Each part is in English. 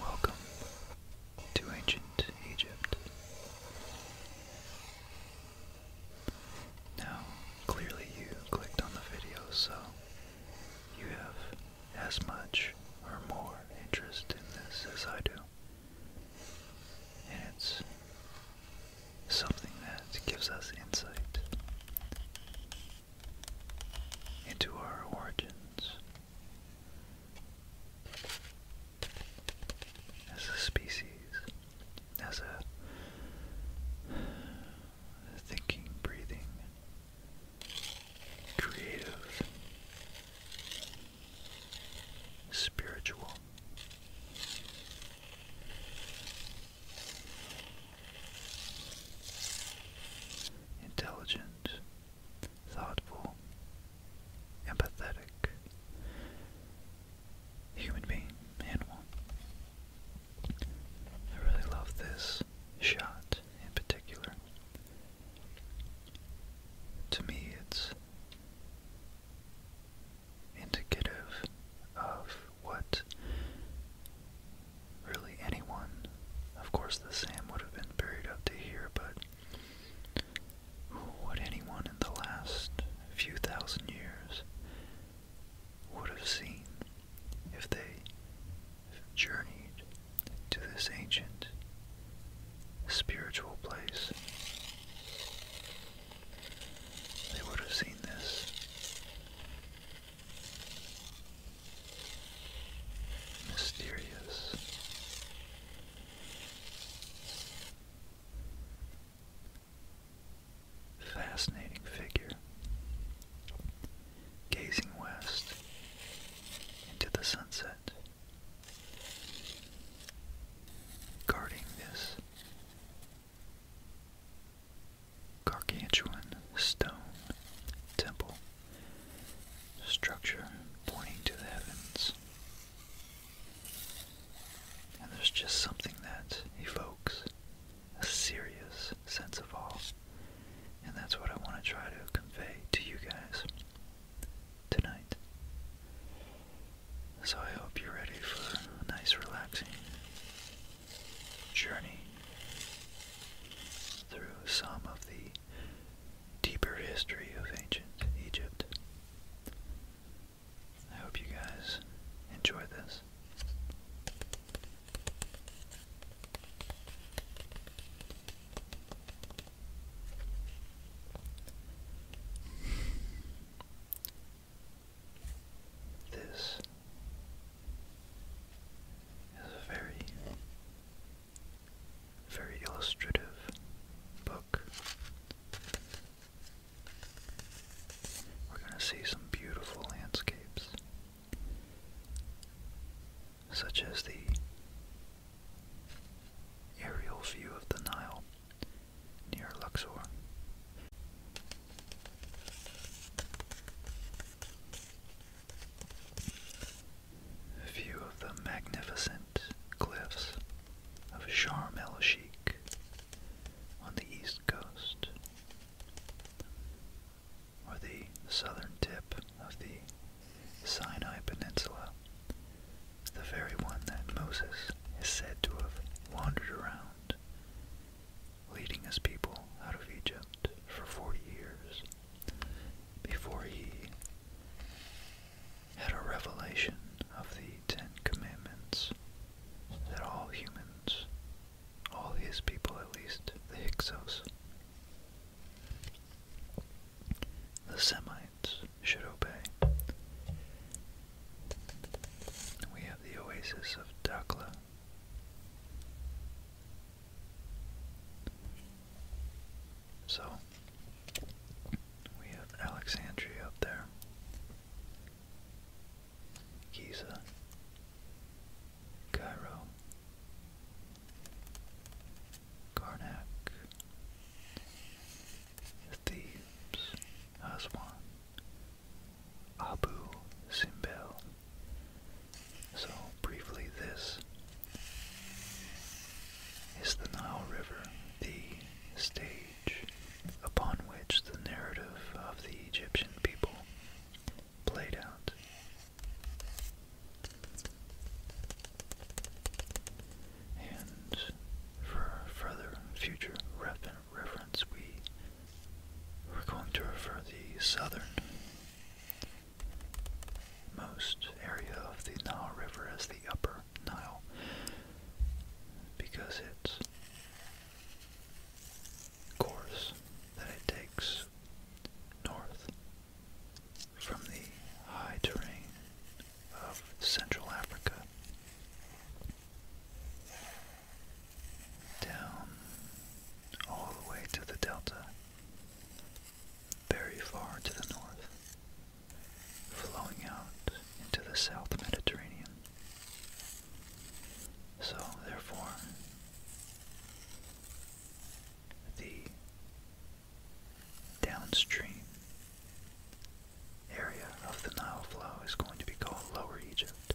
Welcome to ancient Egypt. Now, clearly you clicked on the video, so you have as much or more interest in this as I do. And it's something that gives us insight into our origins as a species, as a thinking, breathing, creative spiritual. Intelligent, thoughtful, empathetic human being, animal. I really love this shot in particular to me it's indicative of what really anyone of course the Sam would have been buried up to here but what anyone in the last few thousand years would have seen if they journeyed to this ancient spiritual place. They would have seen this. Mysterious. Fascinating figure, gazing west into the sunset guarding this gargantuan stone temple structure pointing to the heavens. And there's just something that evokes a serious sense of awe. And that's what I want to try to convey to you guys tonight. So I hope you're ready for a nice, relaxing journey through some of the deeper history of ancient Egypt. I hope you guys enjoy this. This is a very, very illustrative book. We're going to see some beautiful landscapes, such as the Aerial view of the Nile near Luxor. View of the magnificent cliffs of Sharm el Sheikh on the east coast, or the southern tip of the Sinai Peninsula the very one that Moses is said to have wandered around, leading his people out of Egypt for 40 years, before he had a revelation of the Ten Commandments that all humans, all his people at least, the Hyksos, the Semites, should obey. We have the oasis of Dakla. So, we have Alexandria up there, Giza, Cairo, Karnak, Thebes, Aswan, Abu Simbel. So, briefly, this is the Nile River, the stage upon which the narrative of the Egyptian people played out. And for further future reference, we we're going to refer the southernmost area of the Nile River as the Upper Nile because its course that it takes north from the high terrain of Central Africa. Down all the way to the delta, very far to the north, flowing out into the South Mediterranean. So, therefore, the downstream area of the Nile flow is going to be called Lower Egypt.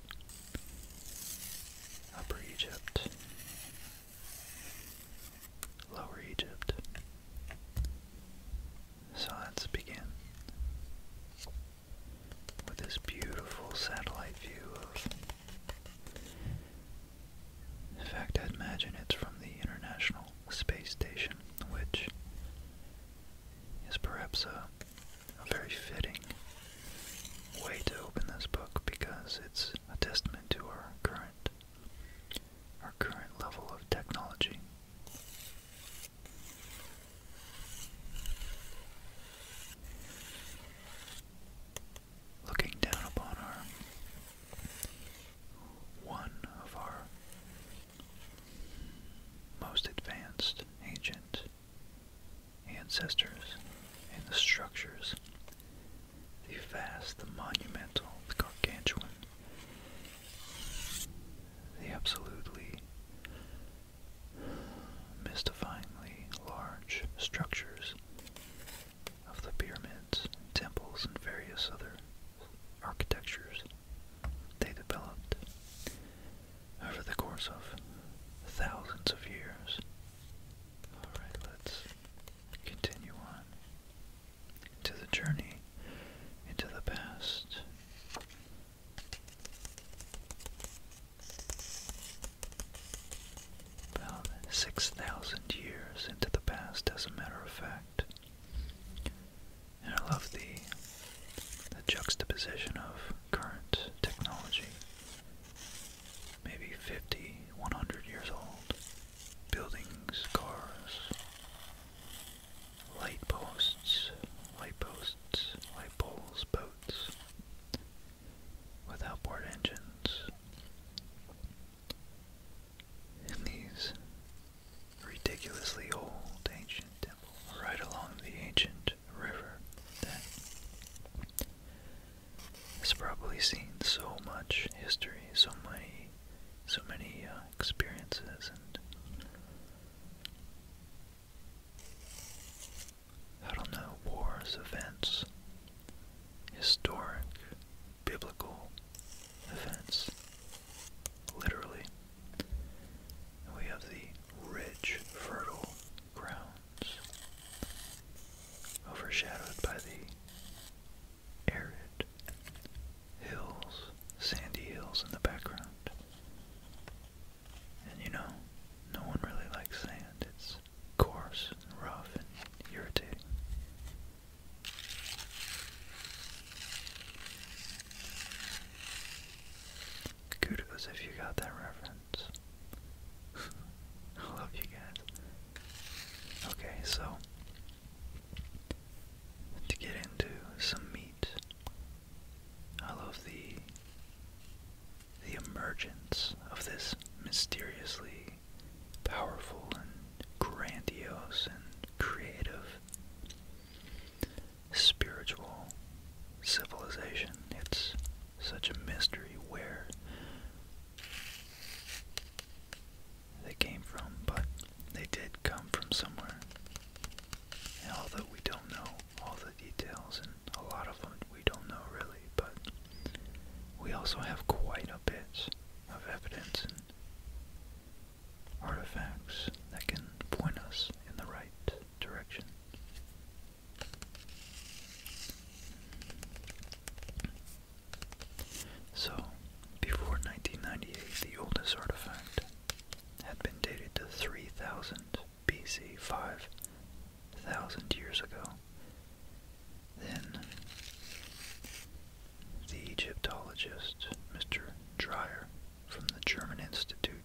Upper Egypt. Lower Egypt. So let's begin with this beautiful satellite view of. In fact, I'd imagine it's from the International Space Station, which is perhaps a, a very fitting way to open this book because it's a testament to our current our current level of technology. Looking down upon our one of our most advanced, ancient ancestors and the structures, the vast, the monumental, the gargantuan, the absolutely mystifyingly large structures of the pyramids, and temples, and various other architectures they developed over the course of thousands of years. Alright, let's continue on to the journey into the past. About 6,000 years into the past, as a matter of fact. And I love the the juxtaposition of current technology, maybe 50, 100 years old, buildings, cars, light posts, light posts, light poles, boats, with outboard engines. And these ridiculously old ancient temple right along the ancient river that has probably seen so much history, so many, so many uh, experiences, and I don't know wars, events, historic, biblical events, literally we have the rich, fertile grounds, overshadowed by the arid hills, sandy hills in the background. And you know, no one really likes sand. It's coarse rough and irritating. Kudos if you got that reference. I love you guys. Okay, so to get into some meat, I love the the emergence of this mysteriously powerful and grandiose and creative spiritual civilization. It's such a mystery where they came from, but they did come from somewhere. And although we don't know all the details, and a lot of them we don't know really, but we also have quite a bit of evidence and artifacts that can point us in the right direction. So, before 1998, the oldest artifact had been dated to 3000 BC, 5000 years ago. Then, the Egyptologist, Mr. Dreyer, from the German Institute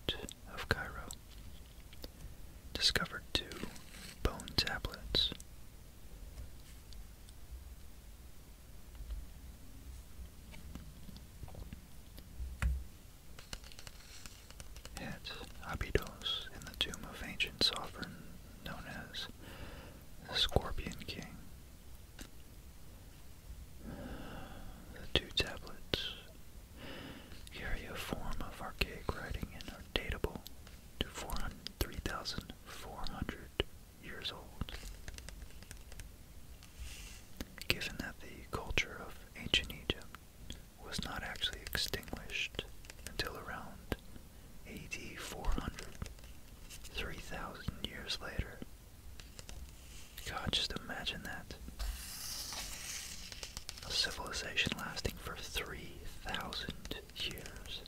of Cairo discovered two bone tablets. At Abydos, in the tomb of ancient sovereign known as the Scorpion King, the two tablets carry a form of archaic writing and are datable to four hundred three thousand four hundred years old. Given that the culture of ancient Egypt was not actually extinguished until around AD 400, years later, God, just imagine that. A civilization lasting for 3,000 years.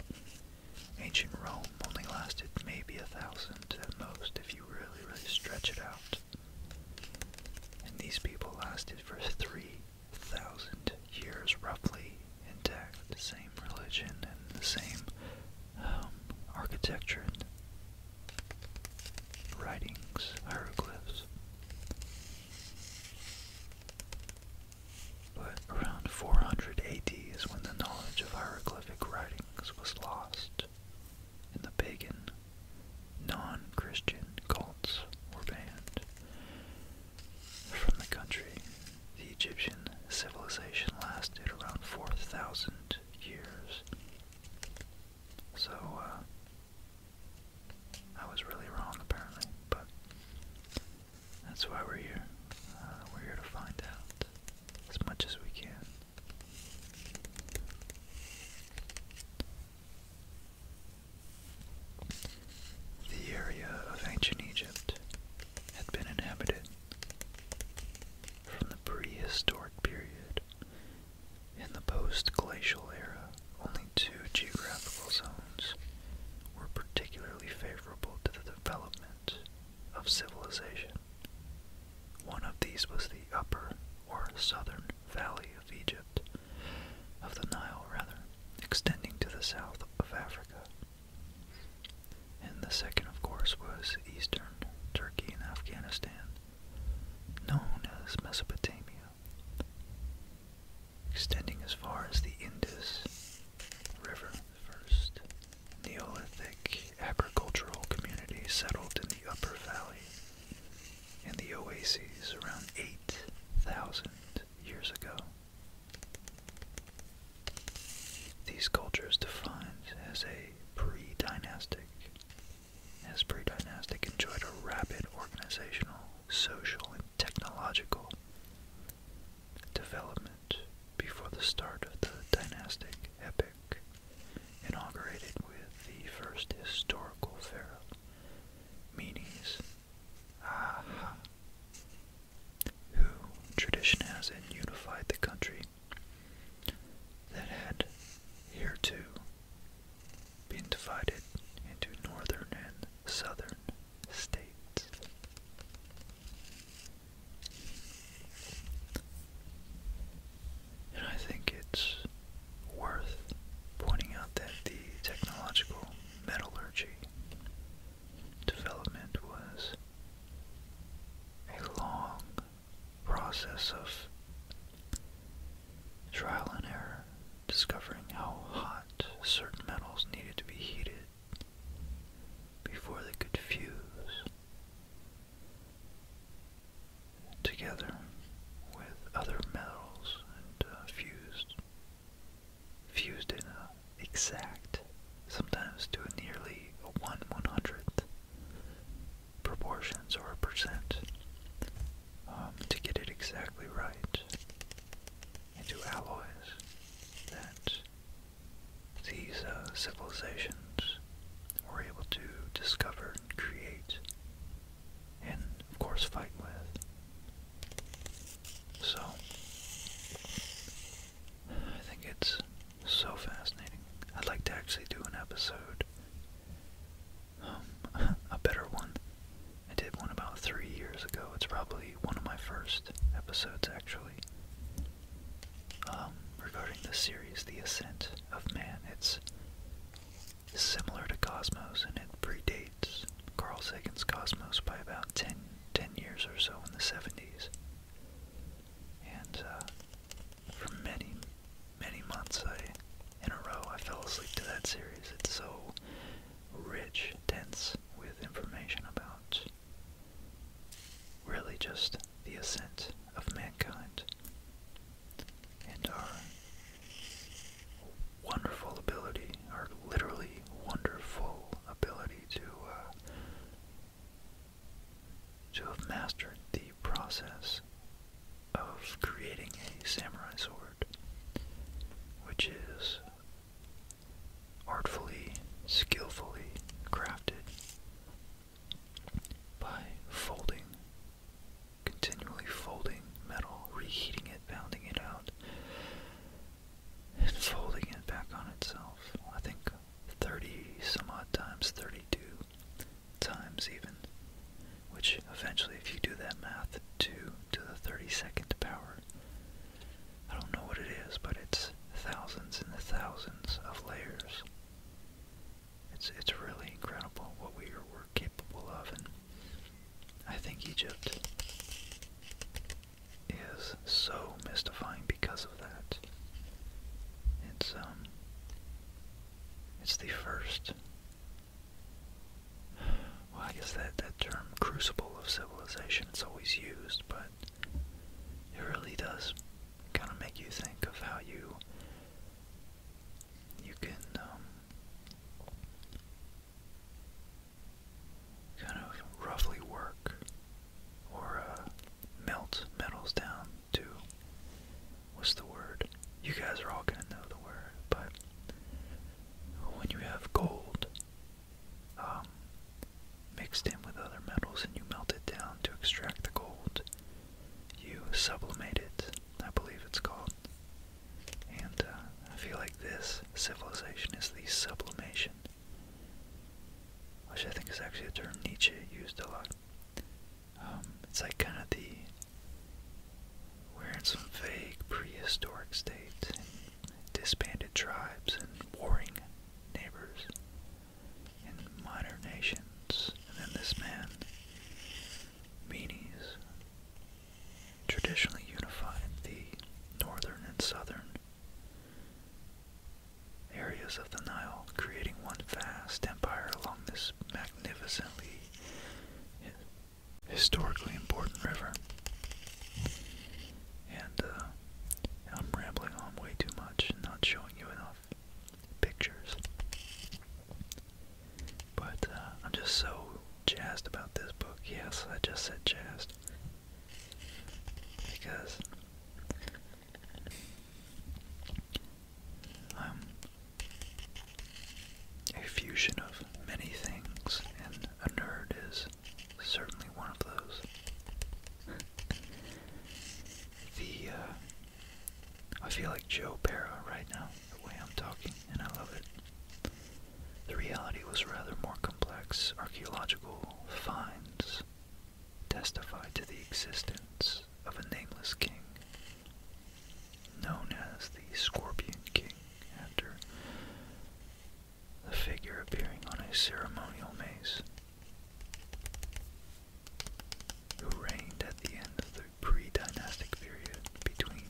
Ancient Rome only lasted maybe a thousand at most if you really, really stretch it out. And these people lasted for 3,000 years, roughly intact. The same religion and the same um, architecture writings, hieroglyphs. But around 400 AD is when the knowledge of hieroglyphic writings was lost, and the pagan, non-Christian cults were banned from the country. The Egyptian civilization lasted around 4,000 years. So, uh, I was really wrong apparently, but that's why we're here. Uh, we're here to find out as much as we can. The area of ancient Egypt had been inhabited from the prehistoric period in the post-glacial era, only two geographical zones were particularly favorable to the development of civilization. One of these was the upper or southern valley of Egypt, of the Nile rather, extending to the south of Africa. And the second, of course, was eastern Turkey and Afghanistan, known as Mesopotamia, extending as far as the Indus River. first Neolithic agricultural community settled in the upper valley and the oases around 8,000 years ago. These cultures defined as a pre-dynastic his pre-dynastic enjoyed a rapid organizational, social, and technological development before the start of the dynastic epic, inaugurated with the first historical pharaoh, Menes who tradition has unified the country that had hereto been divided into northern and southern states. And I think it's worth pointing out that the technological metallurgy development was a long process of trial and error, discovering how hot certain metals needed to be heated before they could fuse together with other metals and uh, fused fused in a exact, sometimes to a nearly one one hundredth proportions or a percent um, to get it exactly right into alloys that these uh, civilizations were able to discover and create and of course fight with. So I think it's so fascinating. I'd like to actually do an episode um, a better one. I did one about three years ago. It's probably one of my first episodes, actually, um, regarding the series The Ascent of Man. It's similar to Cosmos, and it predates Carl Sagan's Cosmos by about 10, years or so in the 70s. And uh, for many, many months I, in a row I fell asleep to that series. It's so rich, dense with information about really just the ascent of mankind and our wonderful ability, our literally wonderful ability to uh, to have mastered the process of creating a samurai sword, which is artfully, skillfully crafted by folding, continually folding metal, reheating it, pounding it out, and folding it back on itself. I think 30 some odd times, 32 times even, which eventually, if you do that math, 2 to the 32nd power. I don't know what it is, but it's thousands and the thousands of layers. It's, it's really incredible what we were capable of, and I think Egypt is so mystifying because of that. It's um, it's the first well, I guess that, that term crucible of civilization is always used, but it really does kind of make you think of how you you can um, kind of roughly work or uh, melt metals down to what's the word? You guys are all gonna know the word, but when you have gold um, mixed in with other metals and you melt it down to extract the gold, you sublimate it, I believe it's called. And uh, I feel like this civilization is the sublimation, which I think is actually a term Nietzsche used a lot. Um, it's like kind of the we're in some vague prehistoric state, disbanded tribes, and warring neighbors, and minor nations, and then this man, Menes, traditionally unified the northern and southern areas of the Nile, creating one vast empire along this magnificently historically important river. And uh, I'm rambling on way too much and not showing you enough pictures. But uh, I'm just so jazzed about this book. Yes, I just said jazzed. Because I'm um, a fusion of many things, and a nerd is certainly one of those. the, uh, I feel like Joe Para right now, the way I'm talking, and I love it. The reality was rather more complex. Archaeological finds testify to the existence of a nameless king known as the Scorpion King after the figure appearing on a ceremonial mace, who reigned at the end of the pre-dynastic period between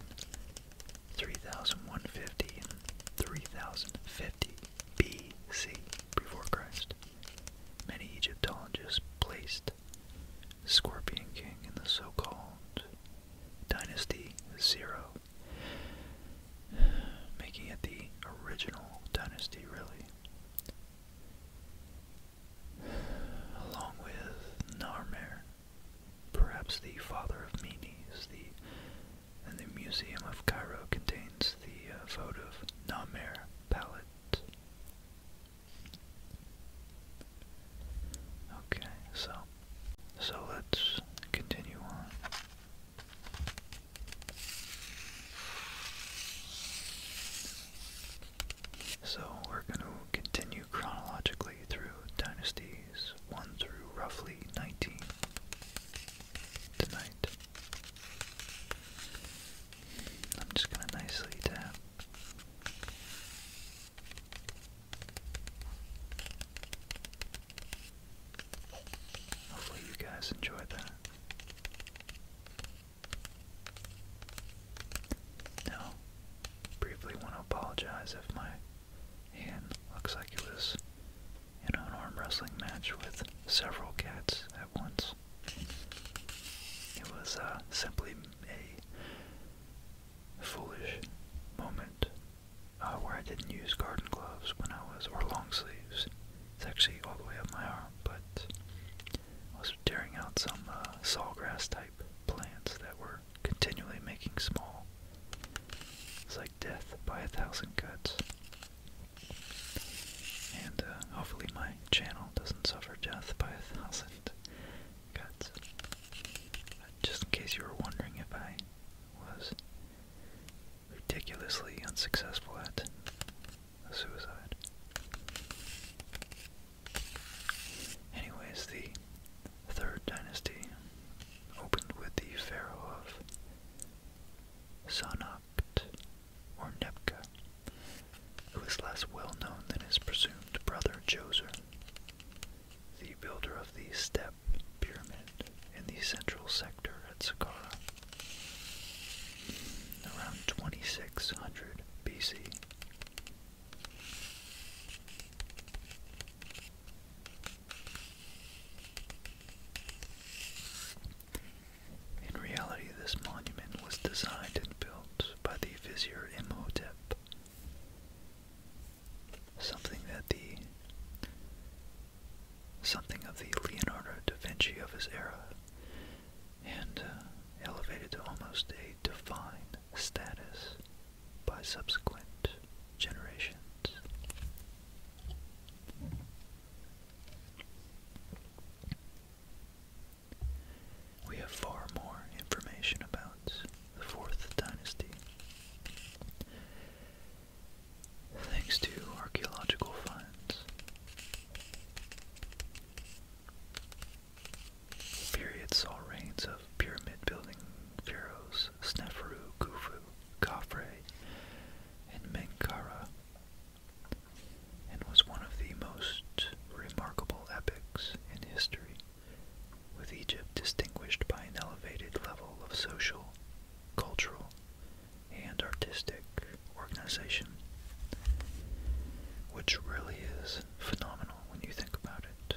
3150 and 3050 BC before Christ. Many Egyptologists placed Scorpion King in the so called Dynasty Zero, making it the original Dynasty, really. Along with Narmer, perhaps the father of Menes, the and the Museum of Cairo contains the uh, vote of Namer Palette. Okay, so so let's continue on. So we're going to continue chronologically through dynasties 1 through roughly 19 tonight. I'm just going to nicely tap. Hopefully, you guys enjoyed that. Now, briefly want to apologize if my hand looks like it was in an arm wrestling match with several cats at once. It was uh, simply a foolish moment uh, where I didn't use garden gloves when I was, or long sleeves. It's actually all the way up my arm, but I was tearing out some uh, sawgrass type plants that were continually making small. It's like death by a thousand cuts. And uh, hopefully my channel doesn't suffer death by a thousand just in case you were wondering if I was ridiculously unsuccessful at suicide. Anyways, the Third Dynasty opened with the pharaoh of Sanapt, or Nebka, who was less well known than his presumed brother Djoser the builder of the step pyramid in the central sector at Saqqara. Around 2600 BC. In reality, this monument was designed and built by the Vizier Imhotep something that the something of the Leonardo da Vinci of his era, and uh, elevated to almost a divine status by subsequent generations. We have far more information about the Fourth Dynasty. Thanks to archaeological finds, period saw reigns of pyramid-building pharaohs Sneferu, Khufu, Khafre, and Menkaura, and was one of the most remarkable epics in history with Egypt distinguished by an elevated level of social, cultural, and artistic organization, which really is phenomenal when you think about it.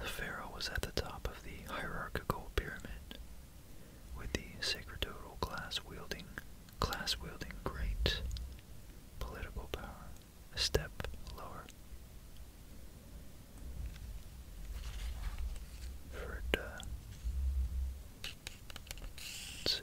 The pharaoh was at the top of the hierarchical pyramid, with the sacerdotal class wielding class wielding great political power a step lower. For it, let's see.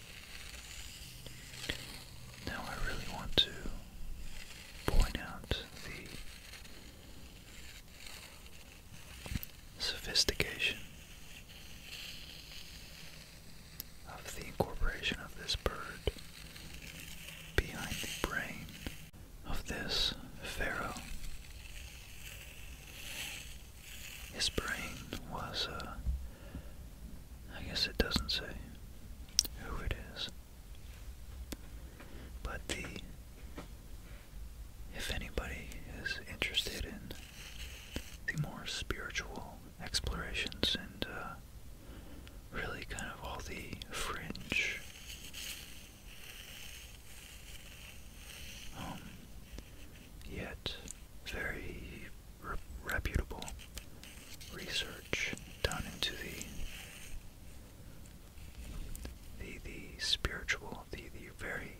Now I really want to point out the sophistication of the incorporation of this bird behind the brain of this pharaoh. His brain was a I guess it doesn't say who it is. But the if anybody is interested in the more spiritual explorations and uh, really kind of all the fringe um, yet very reputable research done into the the the spiritual, the the very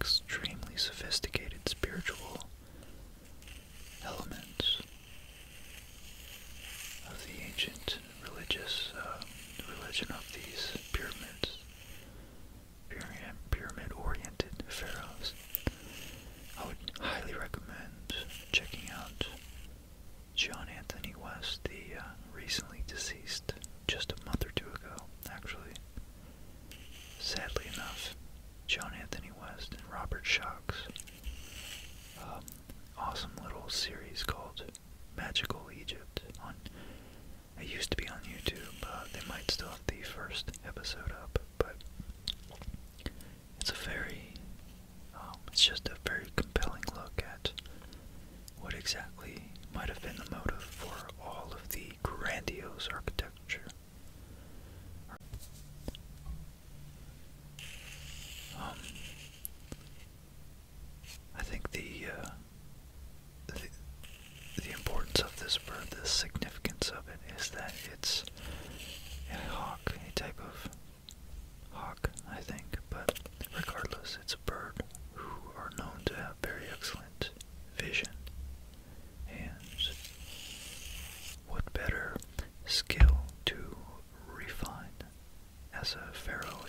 extremely sophisticated spiritual elements of the ancient religious um, religion of these pyramids, pyramid pyramid oriented pharaohs. I would highly recommend checking out John Anthony West, the uh, recently deceased, just a month or two ago, actually. Sadly enough, John Anthony West and Robert Shocks. Um, awesome little series called Magical Egypt. On it used to be on YouTube. Uh, they might still have the first episode up, but it's a very, um, it's just a very compelling look at what exactly might have been the motive for all of the grandiose architecture. Um, I think the, uh, the importance of this bird, the significance of it, is that it's hawk, type of hawk, I think, but regardless, it's a bird who are known to have very excellent vision. And what better skill to refine as a pharaoh,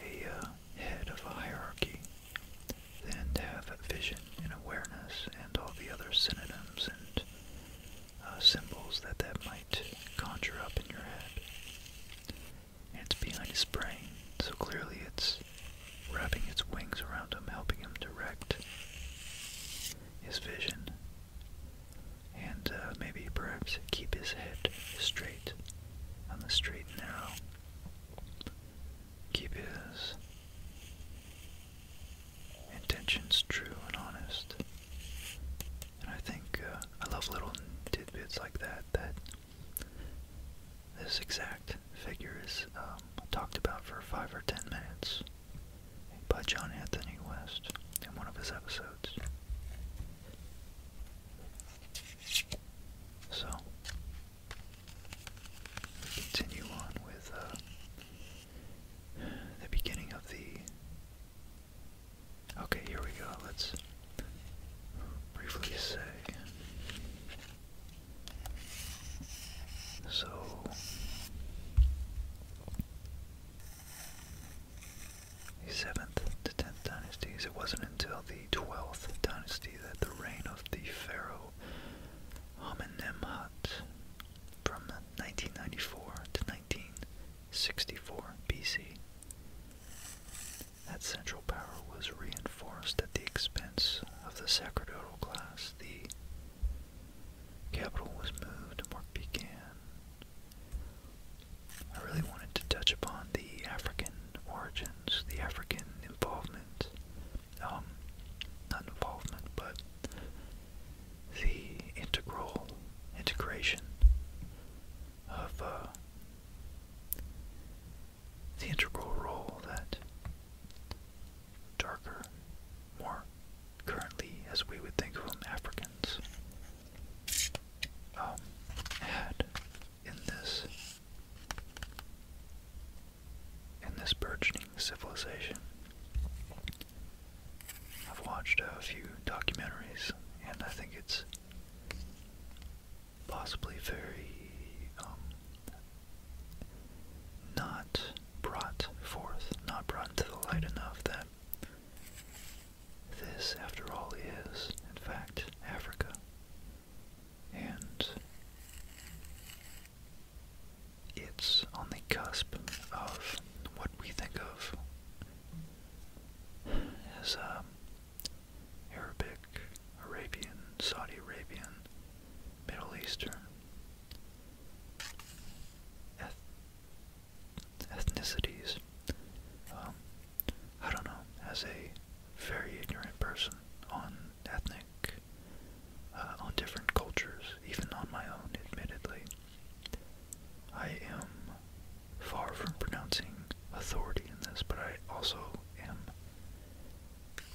a, uh, head of a hierarchy and have vision and awareness and all the other synonyms and uh, symbols that that might conjure up in your head. And it's behind his brain, so clearly it's wrapping its wings around him, helping him direct his vision and uh, maybe perhaps keep his head straight on the straight now. Keep his intentions true and honest. And I think uh, I love little tidbits like that, that this exact figure is um, talked about for five or ten minutes by John Anthony West in one of his episodes. So, we continue on with uh, the beginning of the. Okay, here we go. Let's briefly say. So. The 7th to 10th dynasties. It wasn't until the 12th dynasty that the reign of the pharaoh Amenemhat from 1994 to 1964 BC. That central power was reinforced at the expense of the sacerdotal class. The capital was moved and work began. I really wanted to touch upon the African origins, the African involvement um, not involvement, but the integral integration of uh, the integral role that darker, more currently, as we would think of Africans um, had in this in this burgeoning civilization. I've watched a few documentaries, and I think it's possibly very um, not brought forth, not brought into the light enough that this, after all, is, in fact, Africa. And it's on the cusp of what we think of as um, Arabic, Arabian, Saudi Arabian, Middle Eastern ethnicities. Um, I don't know, as a very ignorant person on ethnic uh, on different cultures, even on my own, admittedly. I am far from pronouncing authority in this, but I also am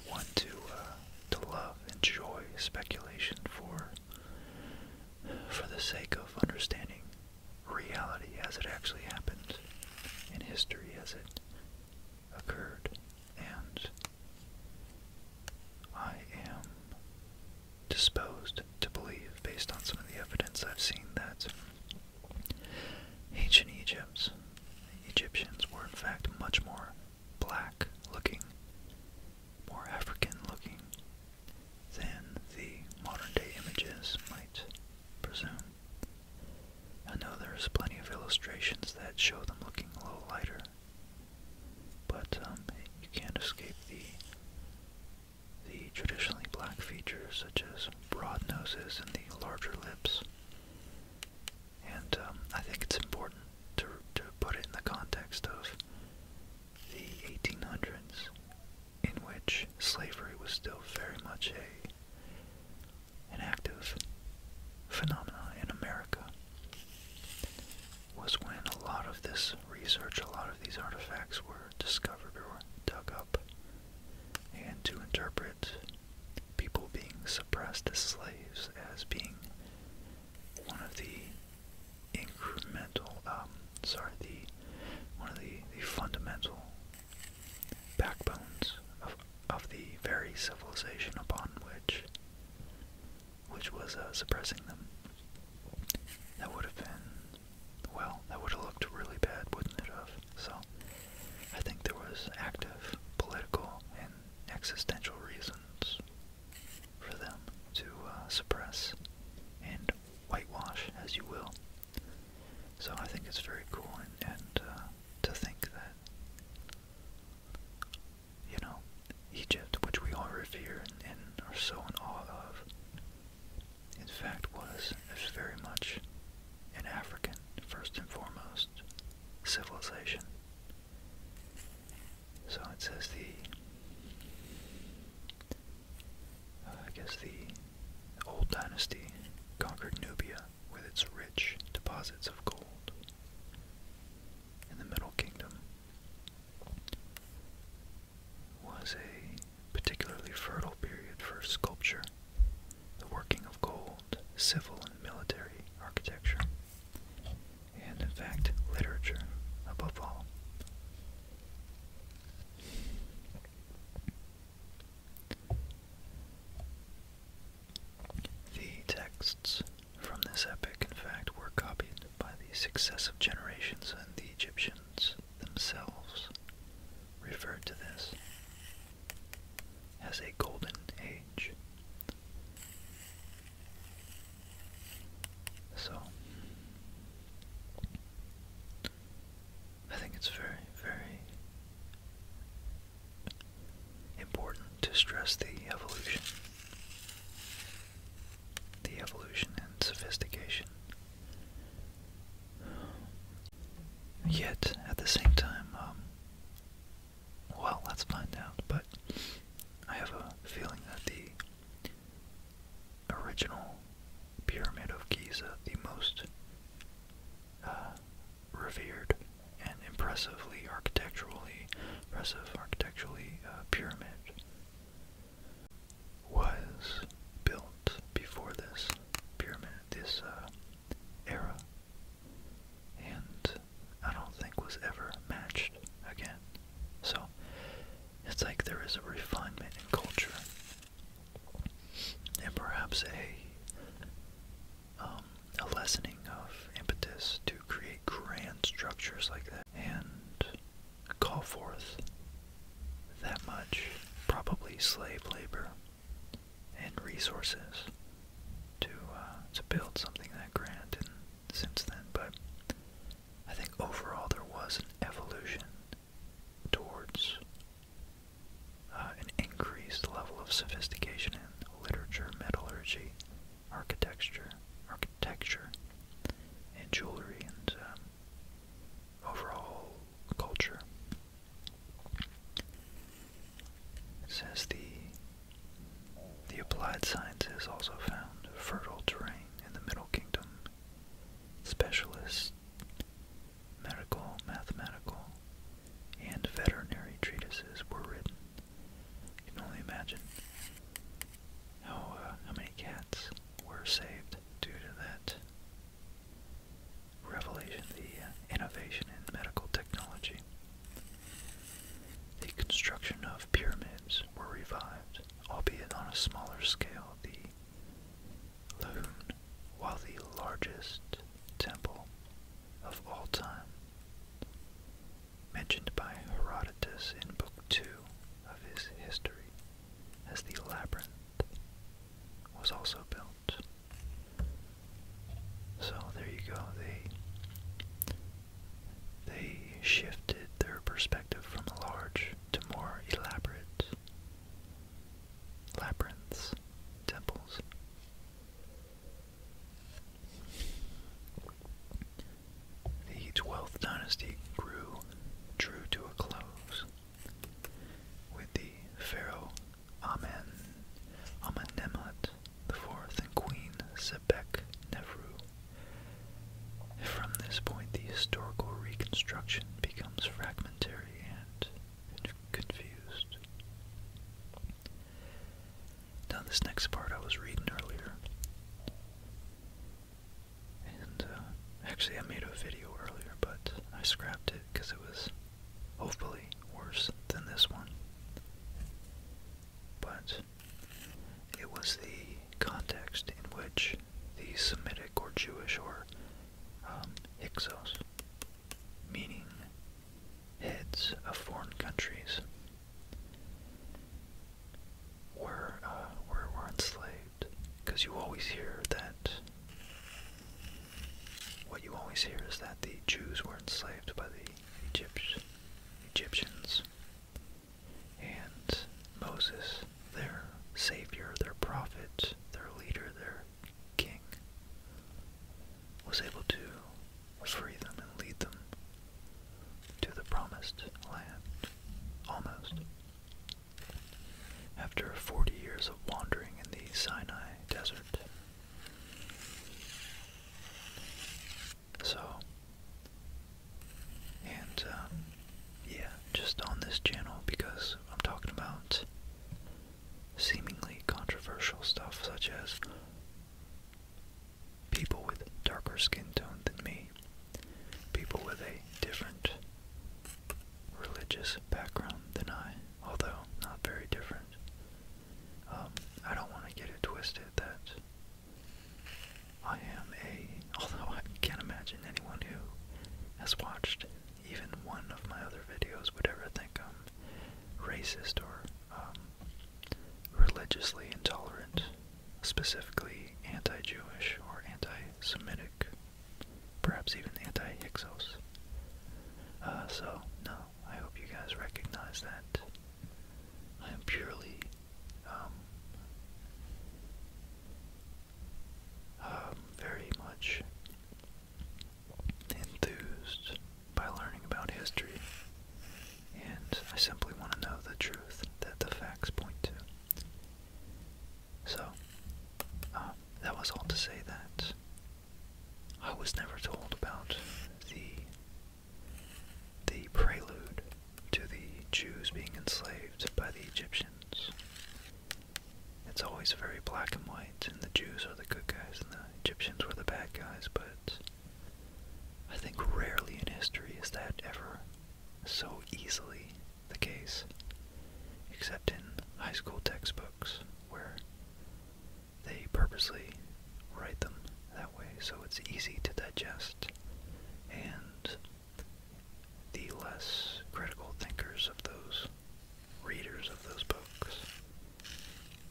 one to uh, to love, enjoy speculation for for the sake of understanding reality as it actually happened in history as it occurred and I am disposed to believe, based on some of the evidence I've seen, that ancient Egypt's Egyptians were in fact much more black looking, more African looking than the modern day images might presume. I know there's plenty of illustrations that show them looking a little lighter but um, you can't escape the, the traditionally black features such as broad noses and the larger lips. And um, I think it's important to, to put it in the context of the 1800s, in which slavery was still very much a, an active phenomenon in America was when a lot of this research, a lot of these artifacts were discovered or dug up. And to interpret people being suppressed as slaves as being one of the incremental, um, sorry, the one of the, fundamental backbones of the very civilization upon which which was uh, suppressing them. That would have been, well, that would have looked really bad, wouldn't it have? So, I think there was active political and existential reasons for them to uh, suppress and whitewash, as you will. So I think it's very cool and, uh, to think that you know, Egypt, which we all revere and, and are so in awe of, in fact was, very much an African, first and foremost, civilization. So it says the, uh, I guess the old dynasty conquered Nubia with its rich deposits of gold. In the Middle Kingdom, was a particularly fertile period for sculpture, the working of gold, civil and military architecture, and in fact, literature above all. The texts from this epic, in fact, were copied by the successive generations, and the Egyptians themselves referred to this as a golden age. So, I think it's very, very important to stress the evolution the evolution and sophistication. Yet, at the same time, um, well, let's find out, but I have a feeling that the original Pyramid of Giza, the most uh, revered and impressively architecturally, impressive architecturally uh, pyramid was built before this pyramid, this uh, era, and I don't think was ever matched again. So it's like there is a refinement in culture, and perhaps a um, lessening of impetus to create grand structures like that, and call forth that much, probably slave labor and resources to uh, to build something that grand. And since then, but I think overall there was an evolution towards uh, an increased level of sophistication in literature, metallurgy, architecture, architecture, and jewelry, and um, overall culture. It the the applied sciences also found fertile terrain in the Middle Kingdom. Specialists, medical, mathematical, and veterinary treatises were written. can only imagine how, uh, how many cats were saved due to that revelation, the uh, innovation in medical technology. The construction of pyramids were revived, albeit on a smaller scale, the Lahoon, while the largest temple of all time mentioned by Herodotus in Book 2 of his history as the labyrinth, was also built. So there you go. They they shifted their perspective from large to more elaborate labyrinths, temples. The 12th dynasty grew, drew to a close with the pharaoh Amen, Amenemhat Fourth and Queen Sebek Nefru. From this point, the historical reconstruction becomes fragmentary and confused. Now, this next part I was reading earlier. And uh, actually, I made a video earlier, but I scrapped it because it was hopefully worse than this one. But it was the context in which the Semitic or Jewish or um, Hyksos, meaning heads of foreign countries, were uh, were, were enslaved. Because you always hear that what you always hear is that the Jews were enslaved by the Egypt, Egyptians, and Moses, their savior, their prophet, their leader, their king, was able to free them and lead them to the promised land. Almost. After 40 years of wandering in the Sinai desert. So, and um, yeah, just on this channel because I'm talking about seemingly controversial stuff such as people with darker skin tone than me people with a different religious background than I, although not very different. Um, I don't want to get it twisted that I am a, although I can't imagine anyone who has watched even one of my other videos would ever think I'm racist or um, religiously intolerant specifically anti Jewish or anti Semitic, perhaps even anti Hyksos. Uh, so, no, I hope you guys recognize that. I am purely um, um, very much enthused by learning about history, and I simply want to know the truth that the facts point to. So, um, that was all to say that I was never told about the the prelude to the Jews being enslaved by the Egyptians. It's always very black and white, and the Jews are the good guys and the Egyptians were the bad guys, but I think rarely in history is that ever so easily the case, except in high school textbooks where they purposely write them that way so it's easy to digest and the less critical thinkers of those readers of those books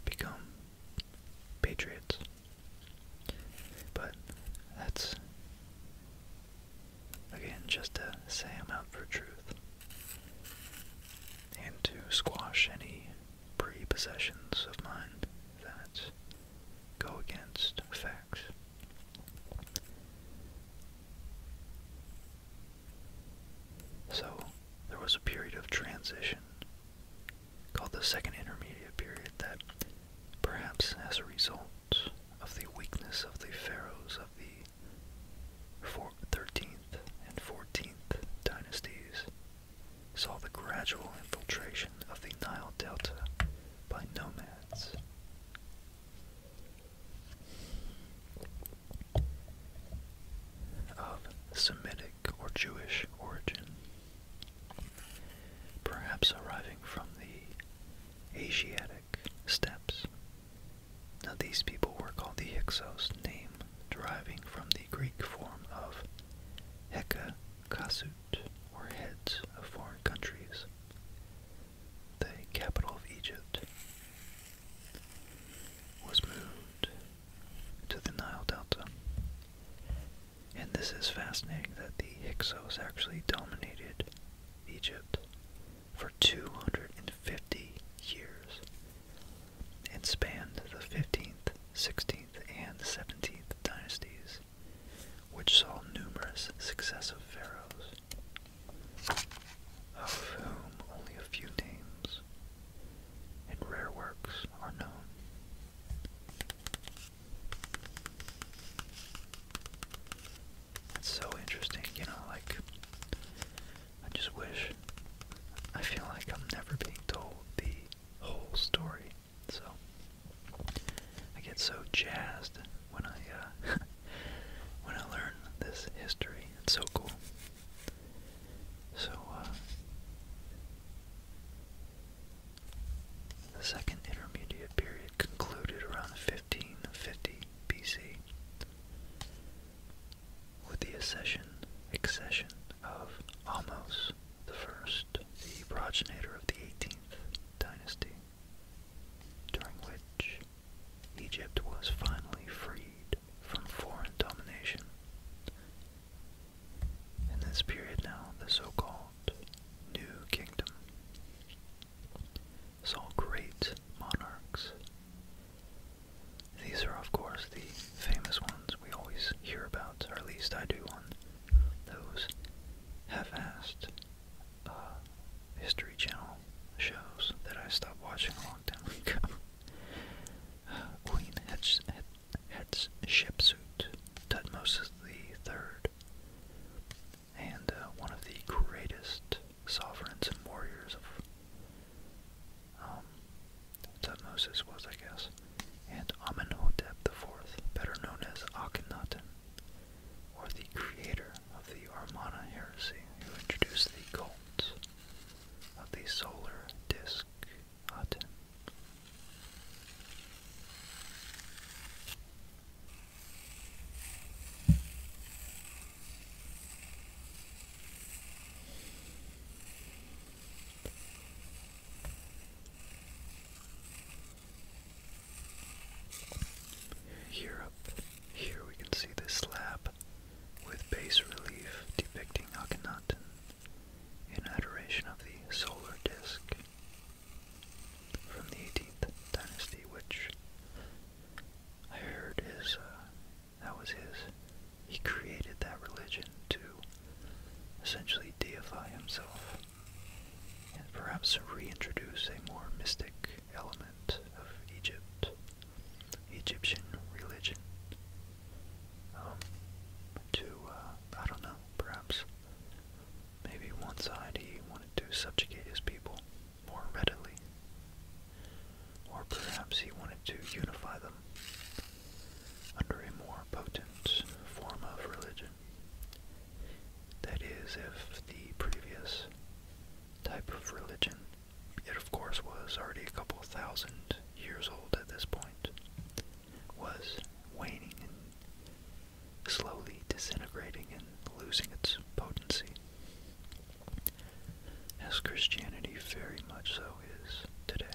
become patriots. But that's Again, just to say them out for truth. And to squash any prepossessions of mind that go against facts. So, there was a period of transition called the second intermediate period that, perhaps as a result of the weakness of the pharaohs of the 13th and 14th dynasties saw the gradual infiltration of the Nile Delta by nomads. Of Semitic or Jewish origin, perhaps arriving from the Asiatic steps. Now these people were called the Hyksos, name deriving from the Greek form of heka kasut, or heads of foreign countries, the capital of Egypt. Was moved to the Nile Delta. And this is fascinating that the Hyksos actually dominated Egypt for 250 years and spanned the 15th, 16th, and 17th dynasties, which saw numerous successive pharaohs, of whom only a few names and rare works are known. That's so interesting, you know, like, I just wish, I feel like I'm never being told the whole story, so, I get so jazzed when I, uh, when I learn this history, it's so cool. So, uh, the second intermediate period concluded around 1550 BC with the accession, accession of Ahmose I, the progenitor of the 18th dynasty, during which Egypt was finally freed from foreign domination. In this period now, the so-called New Kingdom all great monarchs. These are, of course, the famous ones we always hear about, or at least I do on those half-assed uh, History Channel shows that I stopped watching a long time ago. Uh, Queen Hatshepsut, Tutmosis III, and uh, one of the greatest sovereigns and warriors of um, Tutmosis was, I guess, and Amenhotep IV, better known as Akhenaten, or the creator of the Armana heresy, who introduced the cult of the solar disk Aten. Here up here we can see the slab with bas relief depicting Akhenaten in adoration of the solar disk from the 18th dynasty, which I heard is, uh, that was his. He created that religion to essentially deify himself and perhaps reintroduce a more mystic element of Egypt, Egyptian religion, um, to, uh, I don't know, perhaps maybe one side he wanted to subjugate his people more readily. Or perhaps he wanted to unify them under a more potent form of religion. That is, if the previous type of religion, it of course was already a couple thousand years old at this point, was waning slowly disintegrating and losing its potency. As Christianity very much so is today.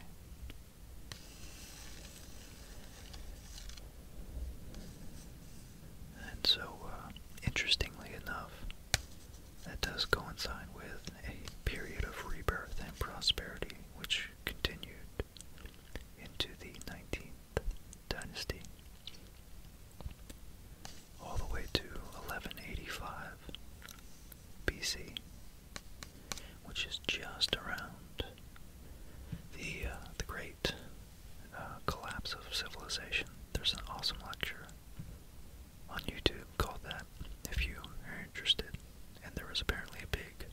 And so, uh, interestingly enough, that does coincide with a period of rebirth and prosperity which continued into the 19th dynasty all the way to 1185 BC, which is just around the uh, the great uh, collapse of civilization. There's an awesome lecture on YouTube called that if you are interested. And there was apparently a big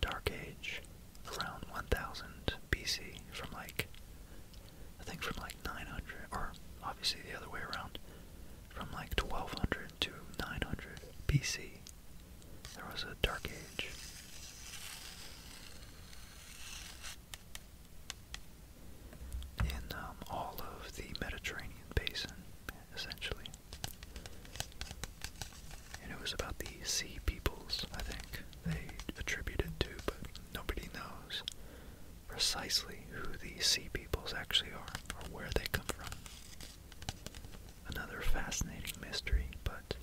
dark age around 1000 BC from like I think from like 900, or obviously the other way around, from like 1200 to 900 BC, there was a Dark Age. In um, all of the Mediterranean basin, essentially. And it was about the sea peoples, I think, they attributed to, but nobody knows precisely who these sea peoples actually are or where they come from. Another fascinating mystery, but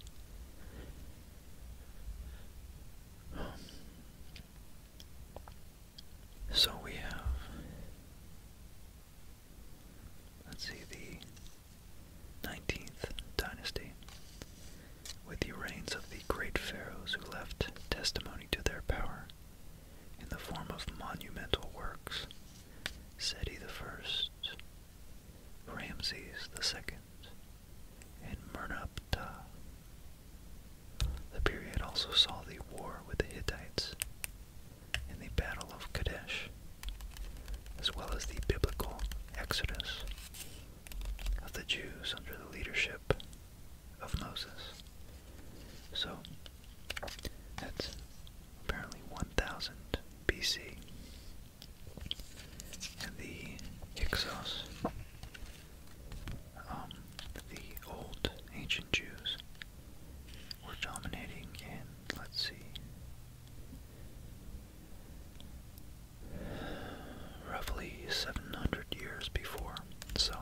um, so we have let's see the 19th dynasty with the reigns of the great pharaohs who left testimony to their power in the form of monumental works Seti I, Ramses II, and Merneptah. The period also saw the war with the Hittites in the Battle of Kadesh, as well as the biblical Exodus of the Jews under the leadership of Moses. So that's apparently 1000 BC. And the Hyksos, um, the old ancient Jews, were dominating in, let's see, roughly 700 years before. So,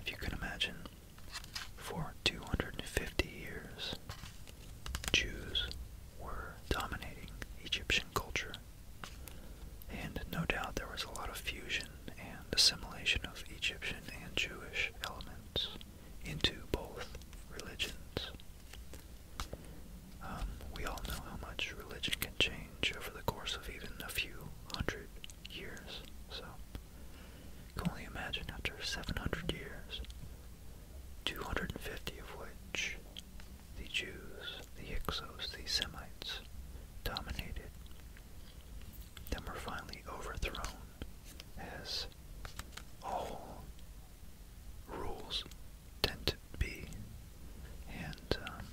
if you can imagine, for 250 years, Jews were dominating Egyptian culture. And no doubt there was a lot of fusion and assimilation of Egyptian and Jewish elements into both religions. Um, we all know how much religion can change over the course of even a few hundred years, so you can only imagine after 700 years, 250 of which the Jews, the Hyksos, the Semites dominated, then were finally overthrown as all rules tend to to and um,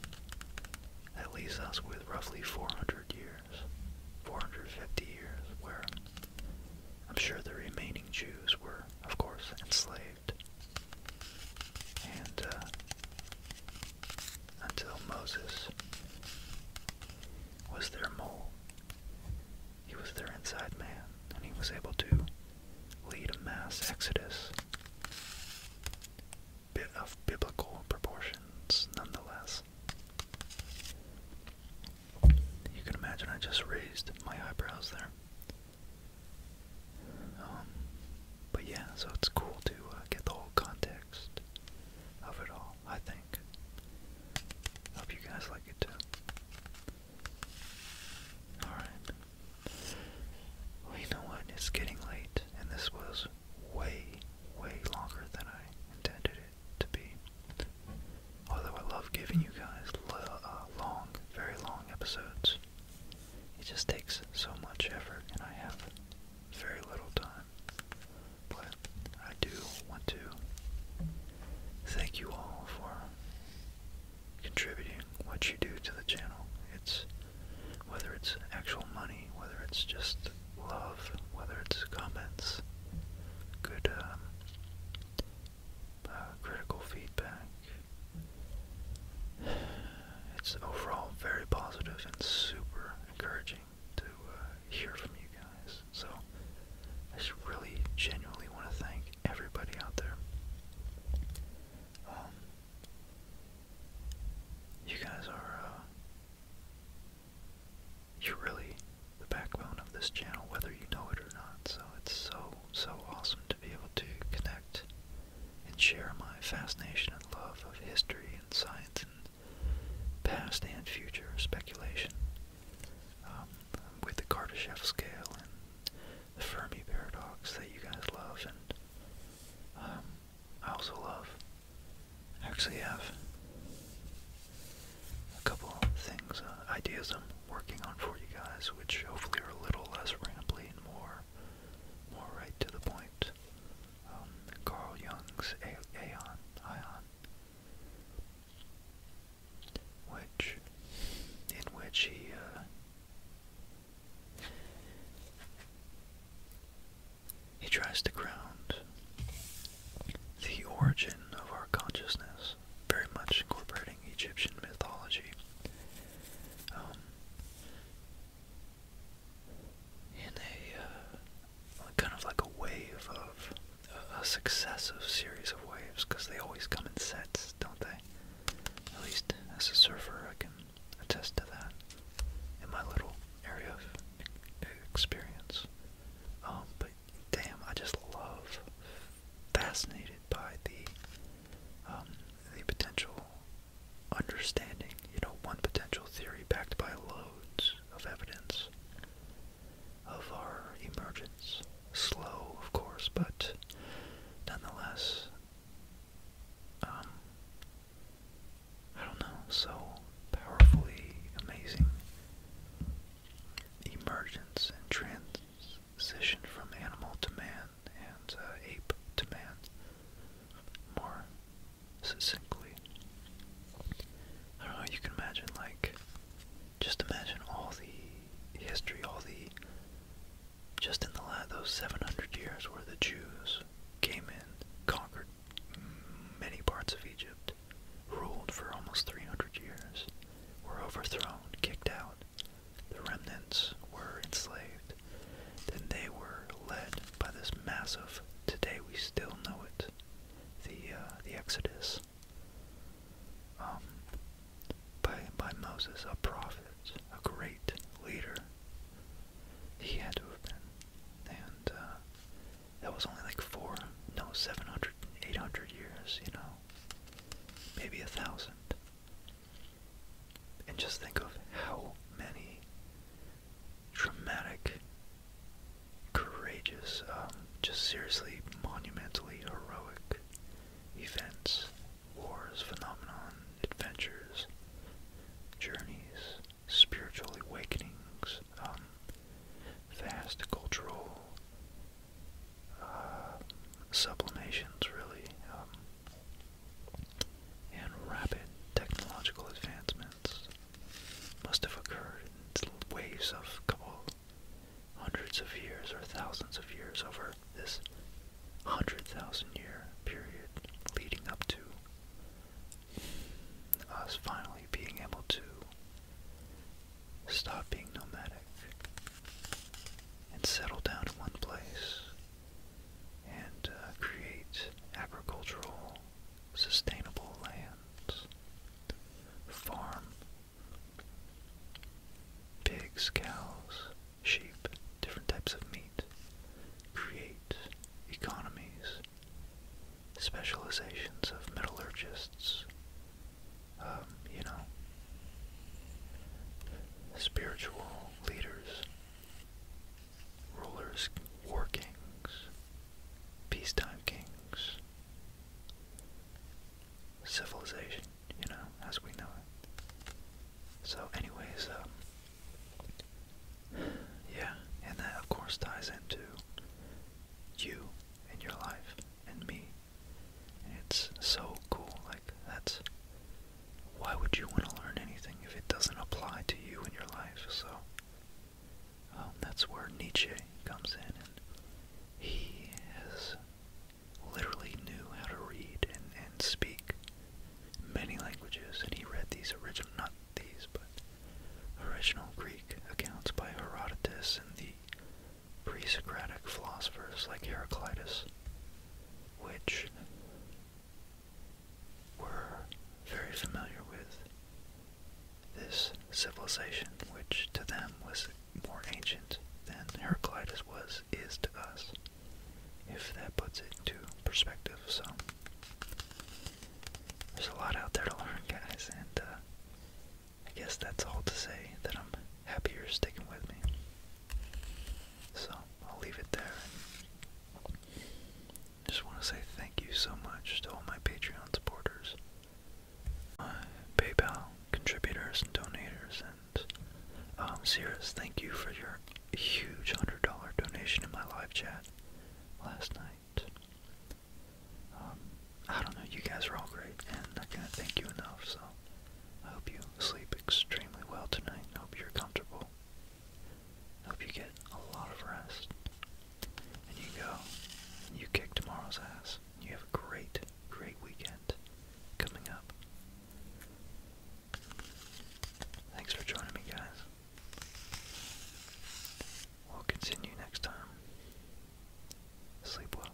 that leaves us with roughly 400 years, 450 years, where I'm sure the remaining Jews were, of course, enslaved, and uh, until Moses was their mole. He was their inside man, and he was able to lead a mass exodus bit of biblical proportions nonetheless. You can imagine I just raised my eyebrows there. Um, but yeah, so it's cool to uh, get the whole context of it all, I think. Hope you guys like it too. Alright, you know what? It's getting late, and this was way, way longer than I intended it to be. Although I love giving you guys uh, long, very long episodes, it just takes so much effort, and I have very little time. But I do want to thank you all for contributing what you do to the channel. It's whether it's actual money, whether it's just love, whether it's comments, good um, uh, critical feedback. It's overall very positive and super encouraging to uh, hear from you guys. So I just really genuinely want to thank everybody out there. Um, you guys are, uh, you're really the backbone of this channel, whether you know it or not. So it's so, so awesome to be able to connect and share my fascination and love of history and science and past and future speculation um, with the Kardashev scale and the Fermi paradox that you guys love and um, I also love. I actually have a couple things, uh, ideas I'm working on for you guys, which hopefully are a little less rambly and more, more right to the point. Um, Carl Jung's Aeon, Ion, which, in which he, uh, he tries to ground the origin of our consciousness, very much incorporating Egyptian mythology. Um, in a uh, kind of like a wave of a successive series of waves because they always come in sets, don't they? At least as a surfer, I can attest to that in my little area of experience. Um, but damn, I just love, fascinated by the um, the potential understanding. You know, one potential theory backed by loads of evidence of our emergence. Slow, of course, but nonetheless um, I don't know, so powerfully amazing emergence and transition from animal to man and uh, ape to man more succinctly. I don't know, you can imagine, like, just imagine all the history, all the just in the last, those 700 years where the Jews came in, conquered many parts of Egypt, ruled for almost 300 years, were overthrown, kicked out. The remnants were enslaved. Then they were led by this massive, today we still know it, the, uh, the Exodus. Um, by, by Moses, a prophet, a great leader he had to have been, and uh, that was only like four, no, seven hundred, eight hundred years, you know, maybe a thousand. And just think of how many dramatic, courageous, um, just seriously monumentally heroic events, wars, phenomenon, adventures, journeys, spiritual awakenings, um, vast cultural uh, sublimations, really, um, and rapid technological advancements must have occurred in waves of a couple hundreds of years or thousands of years over this hundred thousand year period leading up to us finally being able to stop being nomadic and settle down in one place and uh, create agricultural, sustainable lands, farm, pigs, cows, sheep, different types of meat, create economies, specializations of metallurgists, um, you know, spiritual leaders, rulers, war kings, peacetime kings, civilization, you know, as we know it. So anyways, um, yeah, and that of course ties into you and your life and me. it's so cool. Like, that's. Why would you want to learn anything if it doesn't apply to you and your life? So, um, that's where Nietzsche comes in, and he has literally knew how to read and speak many languages, and he read these original, not these, but original Greek accounts by Herodotus and the pre-Socratic philosophers like Heraclitus, which were very familiar with this civilization, which to them was more ancient than Heraclitus was, is to us, if that puts it into perspective. So, there's a lot out there to learn, guys, and uh, I guess that's all to say that I'm happy you're sticking with me. So I'll leave it there. Just want to say thank you so much to all my Patreon supporters, my uh, PayPal contributors and donors, and um, Cirrus, thank you for your huge $100 donation in my live chat last night. Um, I don't know, you guys are all great, and I can't thank you enough, so I hope you sleep extremely well tonight. I hope you're comfortable. I hope you get a lot of rest. And you go, and you kick tomorrow's ass. You have a great, great weekend coming up. Thanks for joining me, guys. We'll continue next time. Sleep well.